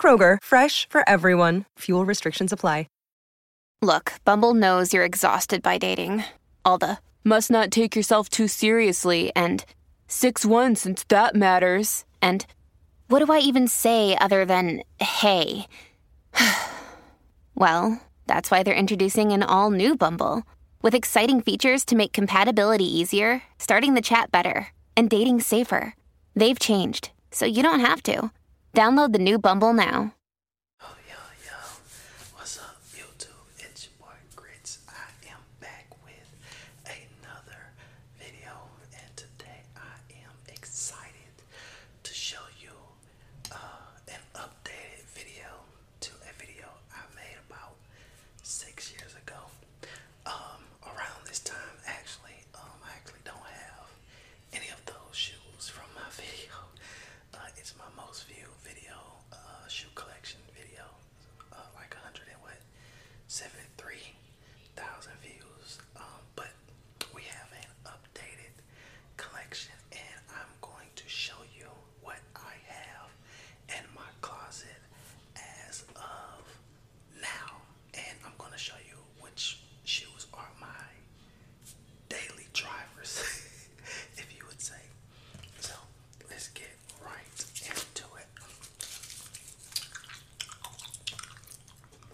Kroger, fresh for everyone. Fuel restrictions apply. Look, Bumble knows you're exhausted by dating. All the must not take yourself too seriously and 6 1 since that matters. And what do I even say other than hey? well, that's why they're introducing an all new Bumble with exciting features to make compatibility easier, starting the chat better, and dating safer. They've changed, so you don't have to. Download the new Bumble now. Oh, yo, yo. What's up, YouTube? It's your boy Grits. I am back with another video, and today I am excited to show you uh, an updated video to a video I made about six years ago um, around this time actually um, I actually don't have any of those shoes from my video uh, it's my most viewed video uh, shoe collection video uh, like 100 and views um, but we have an updated collection and I'm going to show you what I have in my closet as of now and I'm gonna show you which shoes are my daily drivers if you would say so let's get right into it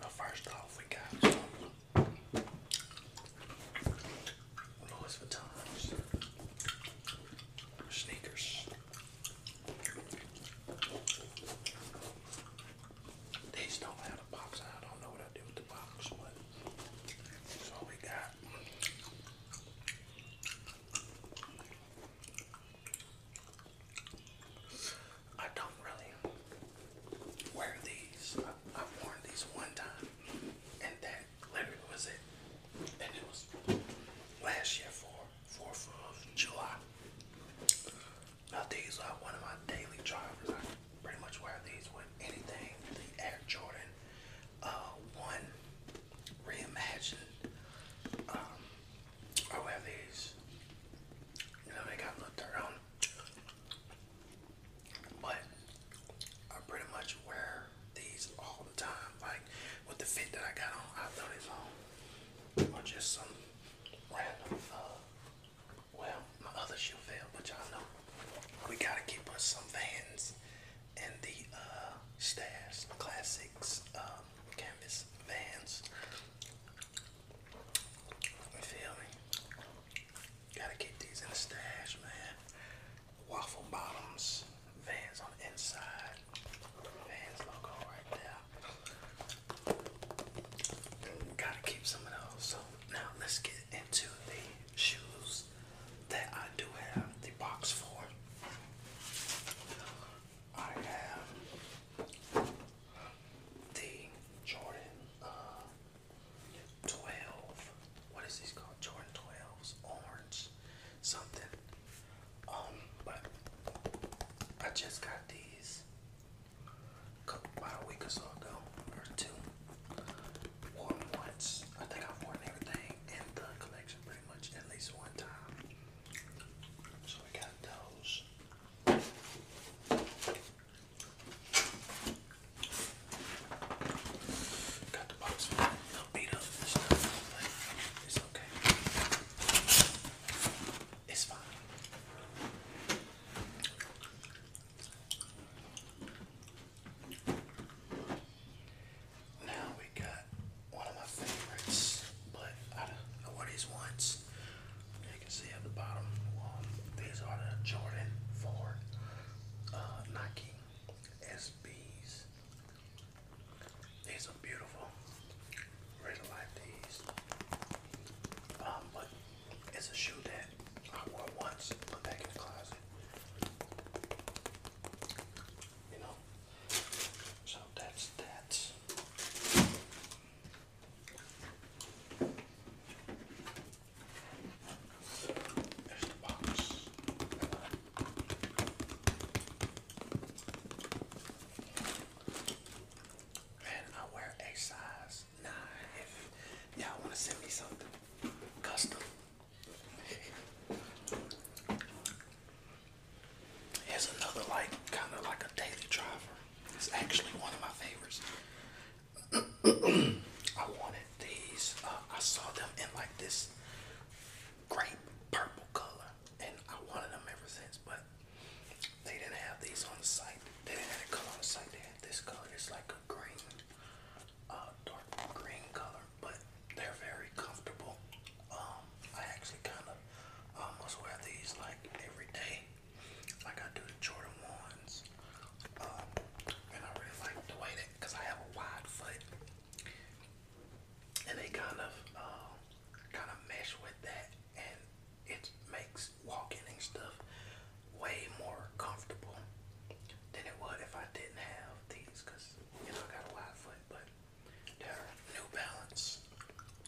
well first off we got Louis Vuitton sneakers these don't have a box, I don't know what I do with the box, but that's all we got. I don't really wear these. I've worn these one time, and that literally was it. And it was last year for 4th of July. Now these are one of my daily drivers. I pretty much wear these with anything. The Air Jordan uh, 1 Reimagined. Um, I wear these. You know, they got a little But I pretty much wear these all time. Like with the fit that I got on, I thought it's on or just some random. Uh, well, my other shoe fell, but y'all know we gotta keep us some Vans and the uh, Stash Classics um, canvas Vans. You feel me? Gotta keep these in the stash, man. Waffle bottoms. Vans on the inside. Vans logo right there. Gotta keep some of those. So now let's get into the shoes that I do have the box for. I have the Jordan uh, 12. What is these called? Jordan 12s, orange, something. Um, but I just got these about a week or so ago, or two. Worn once. I think I've worn everything in the collection pretty much at least one time. So we got those. Got the box it's fine. Now we got one of my favorites, but I, I wore once. You can see at the bottom, these are the Jordan 4 uh, Nike SBs. These are beautiful. Really like these. Um, but it's a shoe that I wore once, put back in closet. You know. So that's that. There's the box. And I wear a size 9 if y'all want to send me something custom. Here's another like kind of like a daily driver. It's actually one of my favorites. I wanted these. Uh, I saw them in like this grape purple color, and I wanted them ever since, but they didn't have these on the site. They didn't have the color on the site. They had this color. It's like a green, uh, dark green color, but they're very comfortable. Um, I actually kind of um, almost wear these like every day, like I do the Jordan ones. Um, and I really like the way that, cause I have a wide foot and they kind of um, kind of mesh with that, and it makes walking and stuff way more comfortable than it would if I didn't have these, cause you know I got a wide foot, but they're New Balance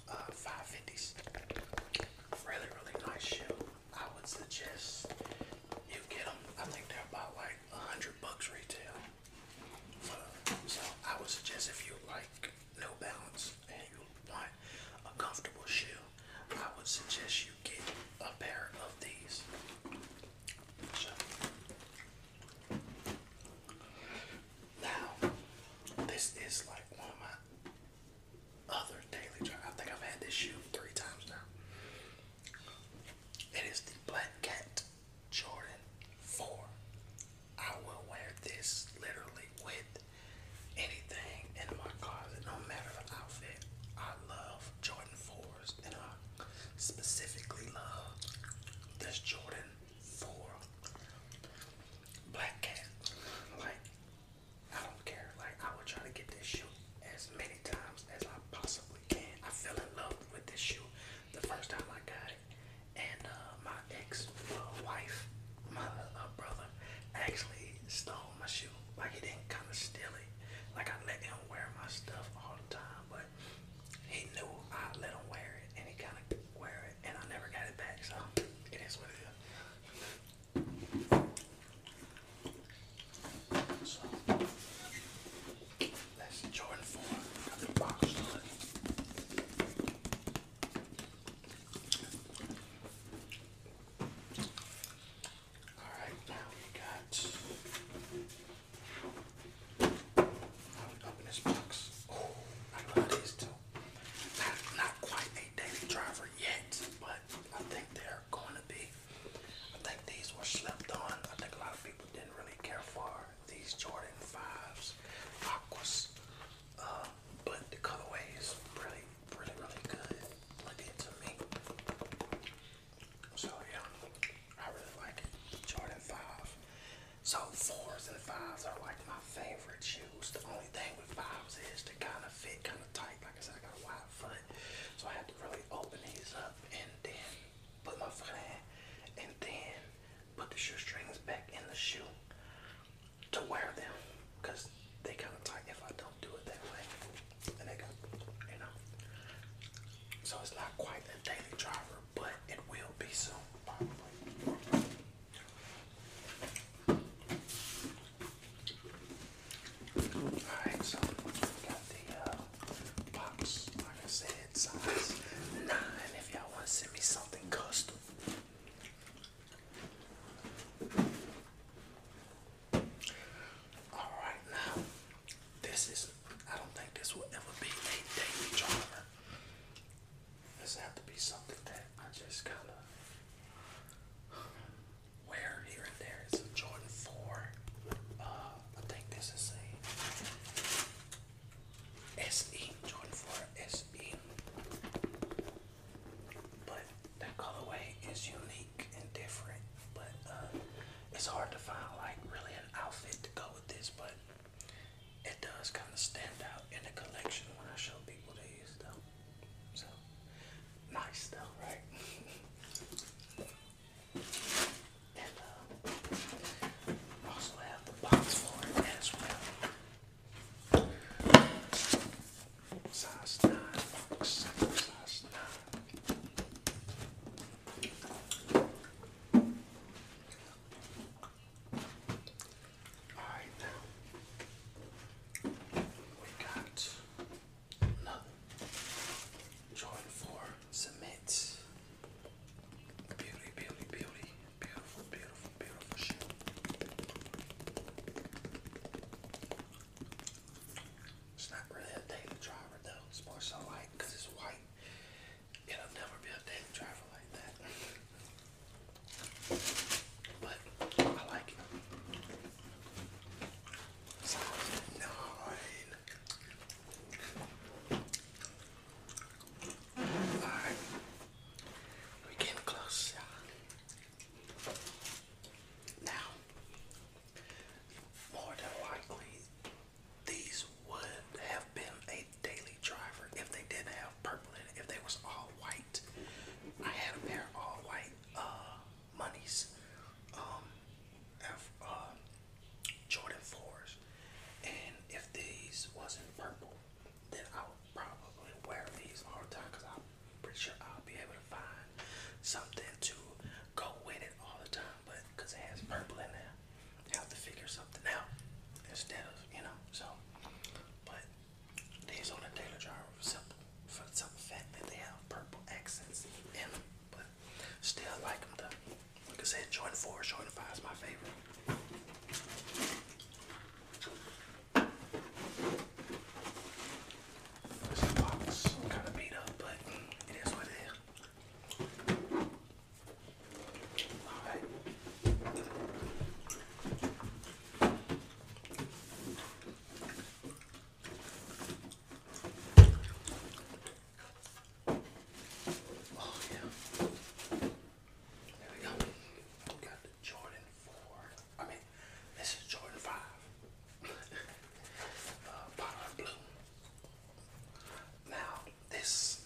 550s. Uh, really, really nice shoe. I would suggest you get them. I think they're about like a hundred bucks retail. Uh, so, I would suggest if you like no balance and you want a comfortable shoe, I would suggest you get a pair of these. now, this is like one of my other daily drive. I think I've had this shoe three times now. It is the Black Cat Jordan 4. I will wear this literally with anything in my closet, no matter the outfit. I love Jordan 4s, and I specifically love this Jordan 4 Black Cat. Like, I don't care. Like, I will try to get this shoe as many times as I possibly can. I fell in love with this shoe the first time I got it and uh, my ex-wife, uh, my uh, brother, actually stole my shoe. Like he didn't kind of steal it. Like I let him wear my stuff all the time, but he knew I let him wear it, and he kind of wear it, and I never got it back. So it is what it is. So. Let's 4. Got the box Alright, now we got. Now we open this box. Oh, I love these too. not quite a daily driver yet, but I think they're going to be. I think these were slept on. I think a lot of people didn't really care for these Jordan 5s, Aquas, um, but the colorway is really, really, really good looking to me. So yeah, I really like it, Jordan 5. So 4s and 5s are like my favorite shoes. The only thing with 5s is they kind of fit kind of tight. Like I said, I got a wide foot, so I have to really open these up and then put my foot in, and then put the shoestrings back in the shoe to wear them they kind of tight if I don't do it that way. And they go, you know. So it's not quite a daily driver, but it will be soon, Alright, so got the uh, Pops, I said, size 9 if y'all want to send me something custom. Alright, now, this is, I don't think this will ever be a daily driver. This has to be something that I just kind of wear here and there. It's a Jordan 4. Uh, I think this is a SE, Jordan SE. But that colorway is unique and different. But uh, it's hard to find like really an outfit to go with this, but it does kind of stand out in the collection when I show people these though. So nice though, right? And uh, also have the box for it as well. Size 9, box size 9. Alright, now we got another Jordan 4 Cement. It's not really a daily driver though. It's more so like, because it's white. It'll never be a daily driver like that. But I like it. Sounds Alright. We came close. Now, more than likely, these would have been a daily driver if they didn't have purple in it, if they was all white. I had a pair all white uh, monies. Um, F, uh, Jordan 4s. And if these wasn't purple, then I would probably wear these all the time because I'm pretty sure I'll be able to find something to go with it all the time. But because it has purple in there, I have to figure something out instead of, you know, so. But these on the Daily Driver for simple, for the simple fact that they have purple accents in them. But still like them though. Like I said, joint four, joint five is my favorite. This box kind of beat up, but it is what it is. Alright. Oh yeah. There we go. We got the Jordan 4. I mean, this is Jordan 5. uh, Bottle blue. Now, this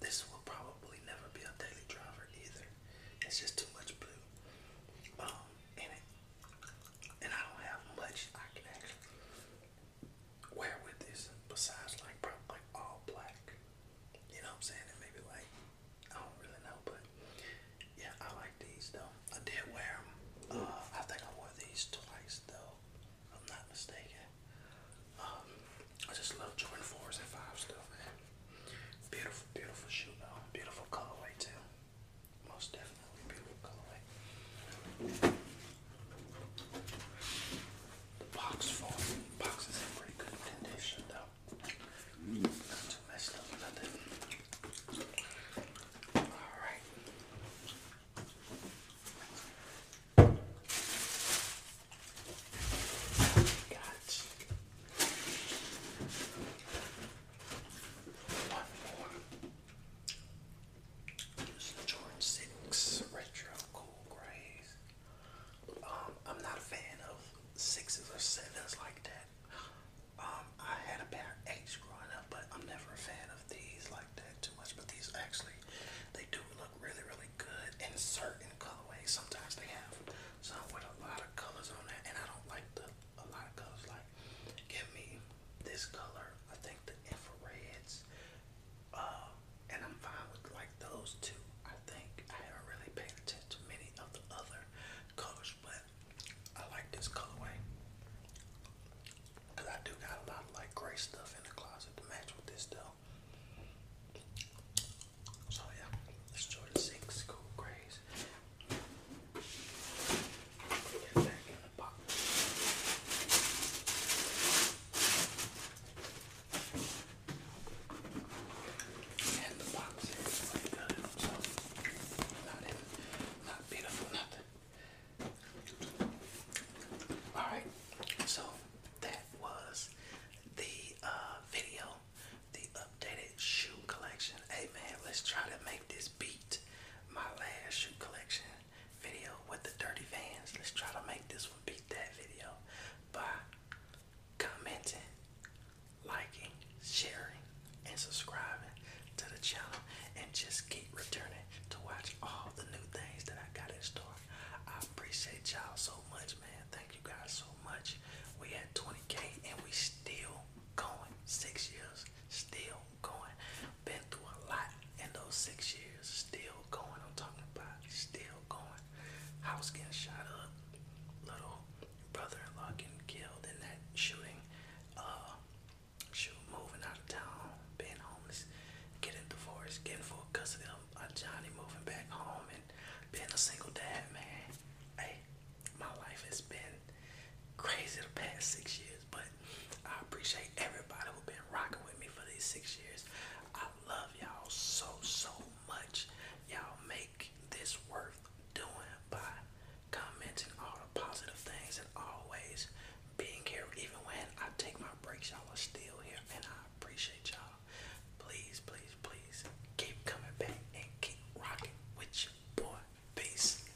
this will probably never be a daily driver either. It's just too much blue um, And I don't have much I can where with this besides like probably all black. You know what I'm saying? And maybe like I don't really know, but yeah, I like these though. I did wear them. Uh, I think I wore these twice though. I'm not mistaken. Um, I just love Jordan fours and fives though, Beautiful, beautiful shoe though. Beautiful colorway too. Most definitely. The box form, box is in pretty good condition though. Mm. Not too messed up, nothing. Alright. Got one more. This Jordan 6 Retro Cool Grays. Um, I'm not a fan of sixes or sevens like that. Um, I had a pair of eights growing up, but I'm never a fan of these like that too much. But these actually, they do look really, really good in certain colorways. Sometimes they have some with a lot of colors on there, and I don't like the a lot of colors. Like, give me this color. I think the infrareds, uh, and I'm fine with like those two. I think I haven't really paid attention to many of the other colors, but I like this colorway because I do got a lot of like gray stuff in the closet to match with this though. So yeah, let's six cool grays. Get back in the box. And the in, Alright, so that was the uh, video, the updated shoe collection. Hey man, let's try to make this beat my last shoe collection video with the dirty vans. Let's try to make this one beat that video by commenting, liking, sharing, and subscribing to the channel and just keep returning to watch all the new things that I got in store. I appreciate y'all so much, man. Thank you guys so much. We at 20k and we still going. Six years, still going. Been through a lot in those six years. Still going. I'm talking about still going. House getting shot up. Little brother-in-law getting killed in that shooting. Uh, shoot, moving out of town, being homeless, getting divorced, getting full custody of uh, Johnny, moving back home, and being a single dad, man. Hey, my life has been crazy the past six years, but I appreciate everybody who's been rocking with me for these six years. I love y'all so, so much. Y'all make this worth doing by commenting all the positive things and always being here. Even when I take my breaks, y'all are still here, and I appreciate y'all. Please, please, please keep coming back and keep rocking with your boy. Peace.